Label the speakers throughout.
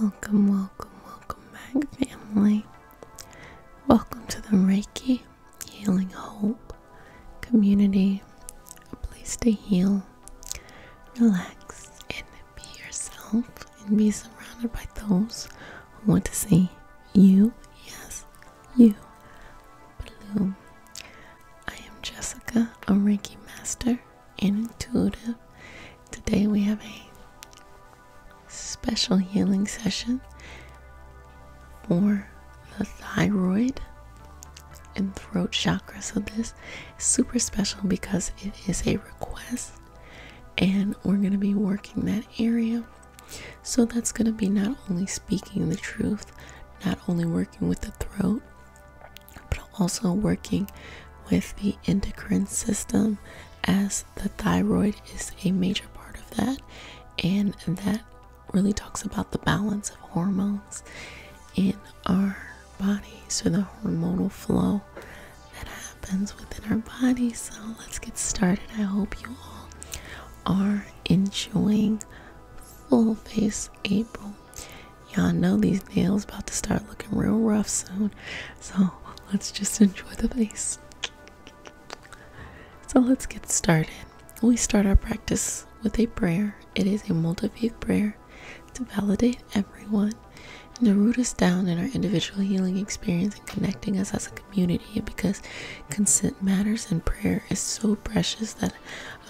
Speaker 1: Welcome, welcome, welcome back, family. Welcome to the Reiki Healing Hope community, a place to heal, relax, and be yourself, and be surrounded by those who want to see you. Yes, you bloom. I am Jessica, a Reiki master and intuitive. Today we have a special healing session for the thyroid and throat chakra. So this is super special because it is a request and we're going to be working that area. So that's going to be not only speaking the truth, not only working with the throat, but also working with the endocrine system as the thyroid is a major part of that and that really talks about the balance of hormones in our body so the hormonal flow that happens within our body so let's get started i hope you all are enjoying full face april Y'all know these nails about to start looking real rough soon. So let's just enjoy the face. So let's get started. We start our practice with a prayer. It is a multi-faith prayer to validate everyone and to root us down in our individual healing experience and connecting us as a community because consent matters and prayer is so precious that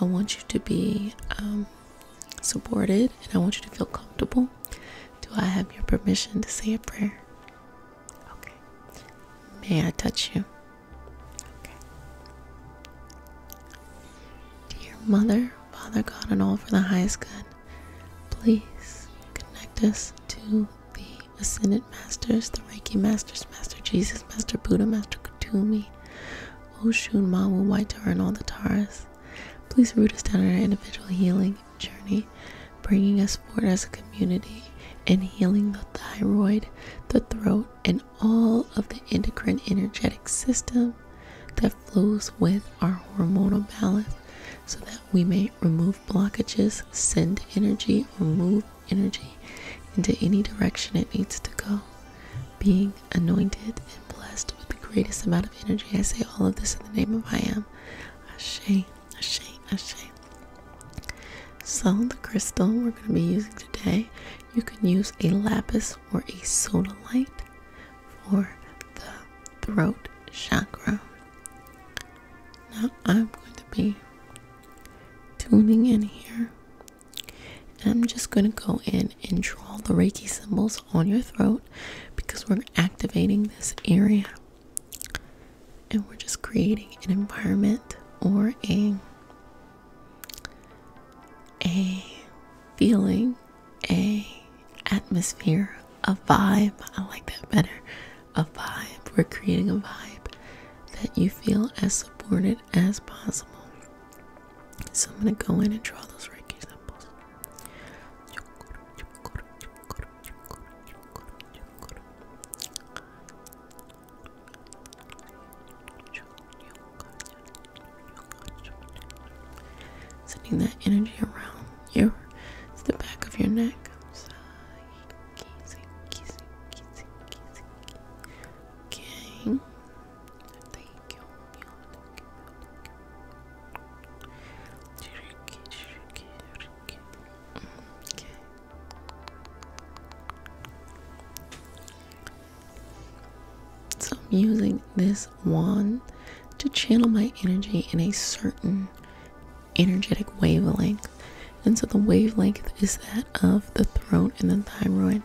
Speaker 1: I want you to be um, supported, and I want you to feel comfortable. Do I have your permission to say a prayer? Okay. May I touch you? Okay. Dear Mother, Father God, and all for the highest good, please connect us to the Ascended Masters, the Reiki Masters, Master Jesus, Master Buddha, Master Katumi, Oh Shun Ma Wu White Tar and all the Taras. Please root us down in our individual healing journey, bringing us forward as a community and healing the thyroid, the throat, and all of the endocrine energetic system that flows with our hormonal balance so that we may remove blockages, send energy, or move energy into any direction it needs to go being anointed and blessed with the greatest amount of energy. I say all of this in the name of I am. Ashe, Ashe, Ashe. So, the crystal we're going to be using today, you can use a lapis or a sodalite for the throat chakra. Now, I'm going to be tuning in here I'm just going to go in and draw the Reiki symbols on your throat because we're activating this area. And we're just creating an environment or a a feeling, a atmosphere, a vibe. I like that better. A vibe. We're creating a vibe that you feel as supported as possible. So I'm going to go in and draw those Reiki symbols. Sending that energy around your the back of your neck. Okay. So I'm using this wand to channel my energy in a certain energetic wavelength. And so the wavelength is that of the throat and the thyroid.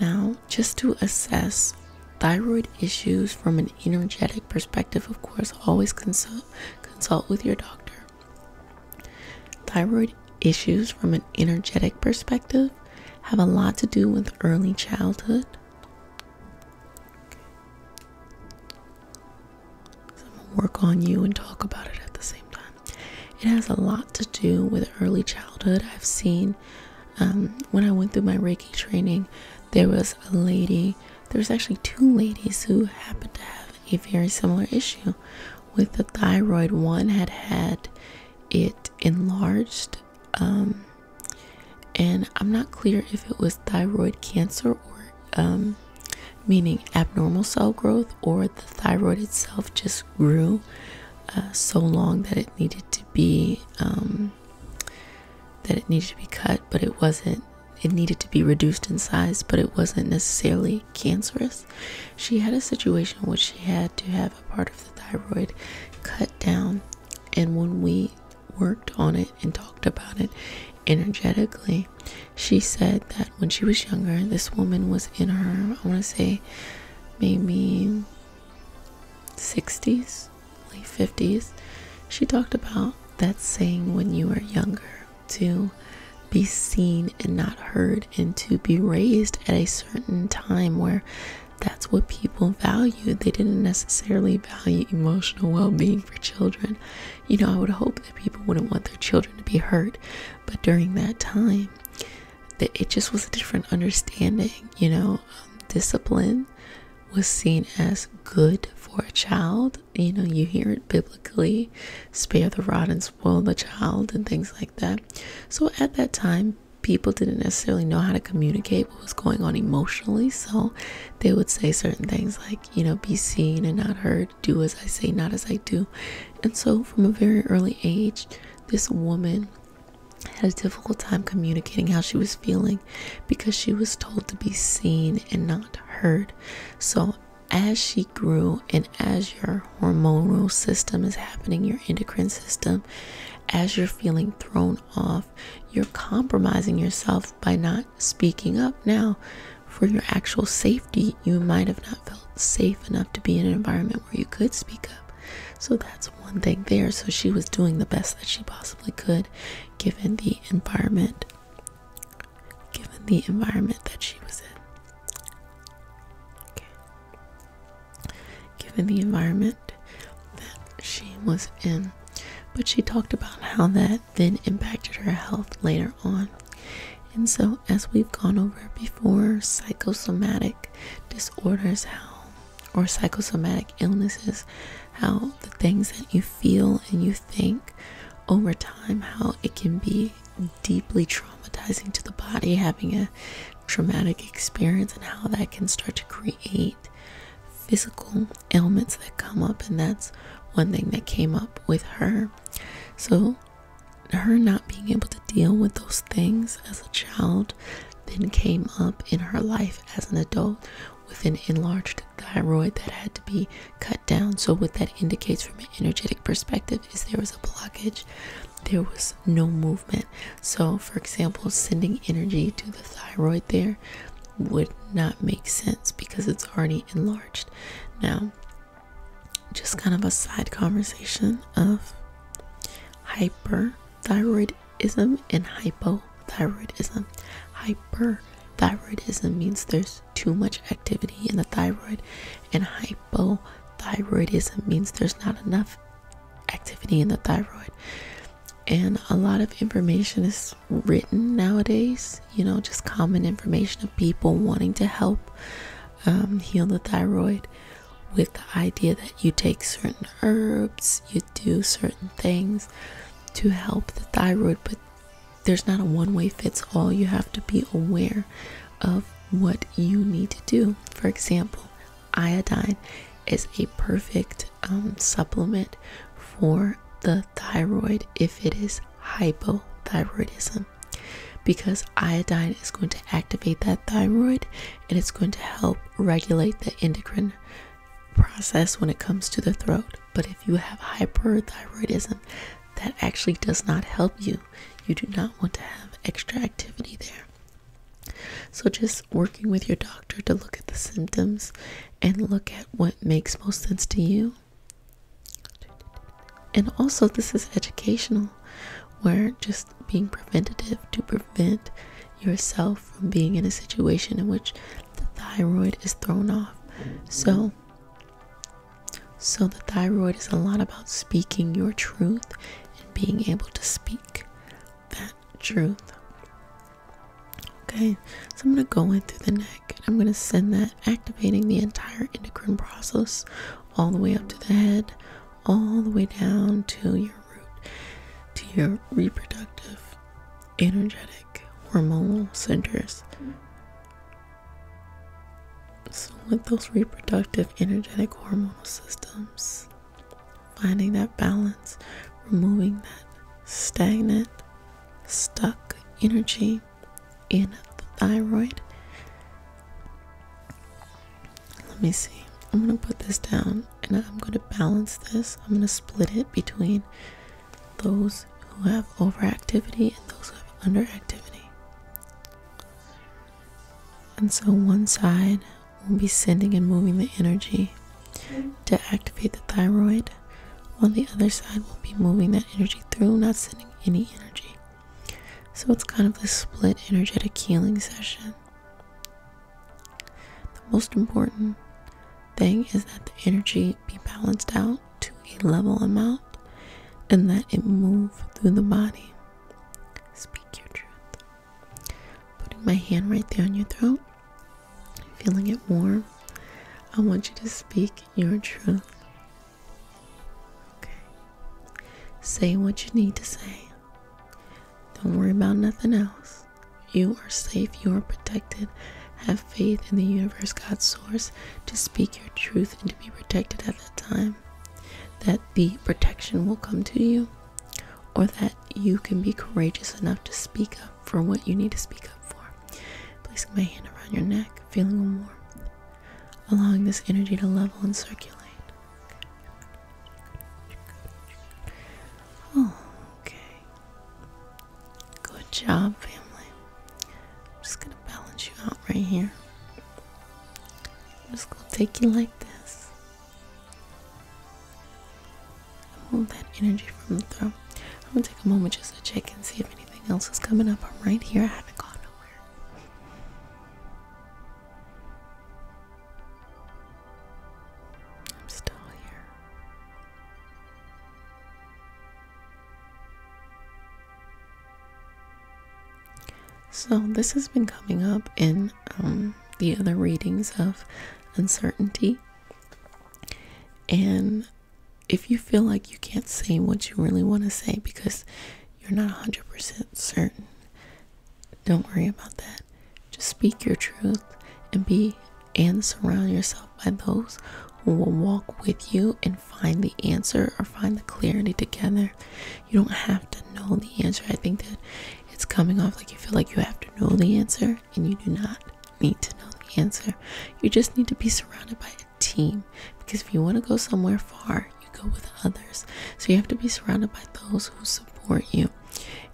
Speaker 1: Now, just to assess thyroid issues from an energetic perspective, of course, always consult consult with your doctor. Thyroid issues from an energetic perspective have a lot to do with early childhood. I'm gonna work on you and talk about it at the same time. It has a lot to do with early childhood. I've seen um, when I went through my Reiki training, there was a lady, there was actually two ladies who happened to have a very similar issue with the thyroid. One had had it enlarged, um, and I'm not clear if it was thyroid cancer or um, meaning abnormal cell growth or the thyroid itself just grew uh, so long that it needed to be um, that it needed to be cut, but it wasn't. It needed to be reduced in size, but it wasn't necessarily cancerous. She had a situation in which she had to have a part of the thyroid cut down, and when we worked on it and talked about it energetically, she said that when she was younger, this woman was in her, I want to say, maybe 60s, late 50s. She talked about that saying when you are younger to be seen and not heard and to be raised at a certain time where that's what people value. They didn't necessarily value emotional well being for children. You know, I would hope that people wouldn't want their children to be hurt, but during that time that it just was a different understanding you know um, discipline was seen as good for a child you know you hear it biblically spare the rod and spoil the child and things like that so at that time people didn't necessarily know how to communicate what was going on emotionally so they would say certain things like you know be seen and not heard do as I say, not as I do. And so, from a very early age, this woman had a difficult time communicating how she was feeling because she was told to be seen and not heard. So, as she grew, and as your hormonal system is happening, your endocrine system, as you're feeling thrown off, you're compromising yourself by not speaking up. Now, for your actual safety, you might have not felt safe enough to be in an environment where you could speak up. So that's one thing there. So she was doing the best that she possibly could given the environment given the environment that she was in. Given the environment that she was in. But she talked about how that then impacted her health later and so, as we've gone over before, psychosomatic disorders, how or psychosomatic illnesses, how the things that you feel and you think over time, how it can be deeply traumatizing to the body, having a traumatic experience, and how that can start to create physical ailments that come up, and that's one thing that came up with her. So, her not being able to deal with those things as a child then came up in her life as an adult with an enlarged thyroid that had to be cut down. So, what that indicates from an energetic perspective is there was a blockage, there was no movement. So, for example, sending energy to the thyroid there would not make sense because it's already enlarged. Now, just kind of a side conversation of hyperthyroidism and hypothyroidism. Hyperthyroidism means there's too much activity in the thyroid, and hypothyroidism means there's not enough activity in the thyroid. And a lot of information is written nowadays you know just common information of people wanting to help um, heal the thyroid with the idea that you take certain herbs you do certain things to help the thyroid but there's not a one way fits all you have to be aware of what you need to do for example iodine is a perfect um, supplement for the thyroid if it is hypothyroidism because iodine is going to activate that thyroid and it's going to help regulate the endocrine process when it comes to the throat. But if you have hyperthyroidism, that actually does not help you. You do not want to have extra activity there. So, just working with your doctor to look at the symptoms and look at what makes most sense to you and also, this is educational, where just being preventative to prevent yourself from being in a situation in which the thyroid is thrown off. So, so the thyroid is a lot about speaking your truth and being able to speak that truth. Okay, so I'm gonna go in through the next and I'm going to send that activating the entire endocrine process all the way up to the head, all the way down to your root, to your reproductive, energetic, hormonal centers. So, with those reproductive, energetic, hormonal systems, finding that balance, removing that stagnant, stuck energy in the thyroid. Let me see. I'm going to put this down and I'm going to balance this. I'm going to split it between those who have overactivity and those who have underactivity. And so one side will be sending and moving the energy to activate the thyroid, side, while the other side will be moving that energy through, not sending any energy. So it's kind of this split energetic healing session. The most important thing is that the energy be balanced out to a level amount and that it move through the body. Speak your truth. Putting my hand right there on your throat, feeling it warm. I want you to speak your truth. Okay. Say what you need to say. Don't worry about nothing else. You are safe, you are protected. Have faith in the universe, God's source, to speak your truth and to be protected at that time. That the protection will come to you, or that you can be courageous enough to speak up for what you need to speak up for placing my hand around your neck, feeling warm, allowing this energy to level and circulate. okay. Good job, family. I'm just gonna balance you out right here. just gonna take you like this. Hold that energy from the throat. I'm gonna take a moment just to check and see if anything else is coming up. I'm right here. I haven't gone nowhere. I'm still here. So this has been coming up in um, the other readings of uncertainty, and if you feel like you can't say what you really want to say because you're not 100% certain, don't worry about that. Just speak your truth and be and surround yourself by those who will walk with you and find the answer or find the clarity together. You don't have to know the answer. I think that it's coming off like you feel like you have to know the answer and you do not need to know the answer. You just need to be surrounded by a team because if you want to go somewhere far, you go with others. So you have to be surrounded by those who support you.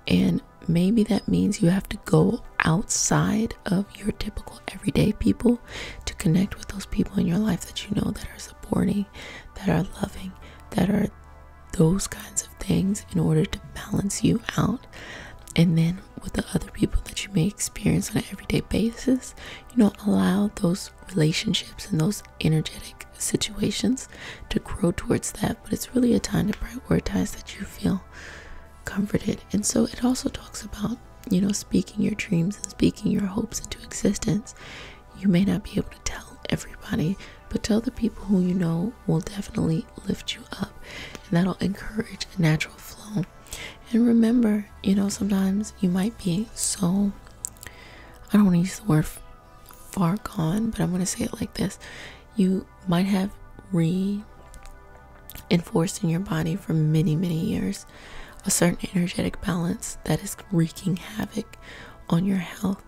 Speaker 1: And maybe that means you have to go outside of your typical everyday people to connect with those people in your life that you know that are supporting, that are loving, that are those kinds of things in order to balance you out and then with the other people that you may experience on an everyday basis you know allow those relationships and those energetic situations to grow towards that but it's really a time to prioritize that you feel comforted and so it also talks about you know speaking your dreams and speaking your hopes into existence you may not be able to tell everybody but tell the people who you know will definitely lift you up and that'll encourage natural flow. And remember, you know, sometimes you might be so I don't want to use the word far gone, but I'm going to say it like this. You might have reinforced in your body for many, many years a certain energetic balance that is wreaking havoc on your health.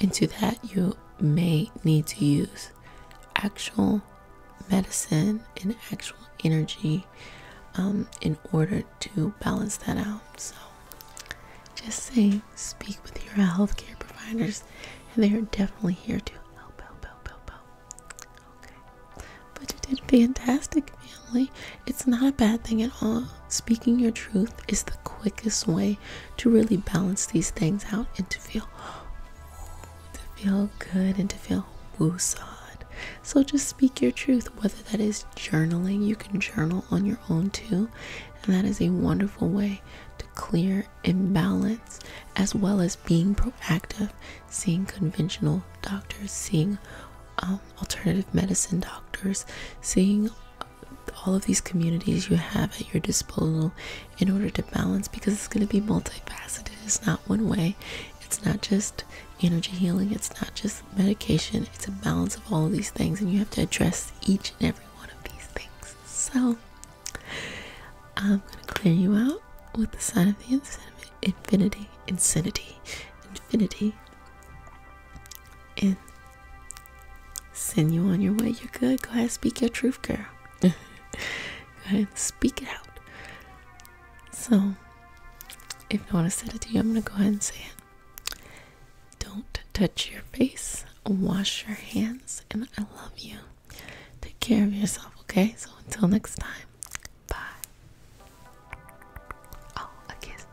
Speaker 1: And to that, you may need to use actual medicine and actual energy um, in order to balance that out. So just say, speak with your healthcare providers, and they are definitely here to help, help, help, help, help. Okay. But you did fantastic, family. It's not a bad thing at all. Speaking your truth is the quickest way to really balance these things out and to feel to feel good and to feel woo woosod. So just speak your truth, whether that is journaling, you can journal on your own too. And that is a wonderful way to clear and balance, as well as being proactive, seeing conventional doctors, seeing um, alternative medicine doctors, seeing all of these communities you have at your disposal in order to balance because it's going to be multifaceted. It's not one way. It's not just energy healing. It's not just medication. It's a balance of all of these things, and you have to address each and every one of these things. So, I'm going to clear you out with the sign of the infinity, infinity, infinity, and send you on your way. You're good. Go ahead, speak your truth, girl. Go ahead, speak it out. So, if I want to say it to you, I'm going to go ahead and say it. Don't touch your face, wash your hands, and I love you. Take care of yourself, okay? So, until next time, bye. Oh, a kiss.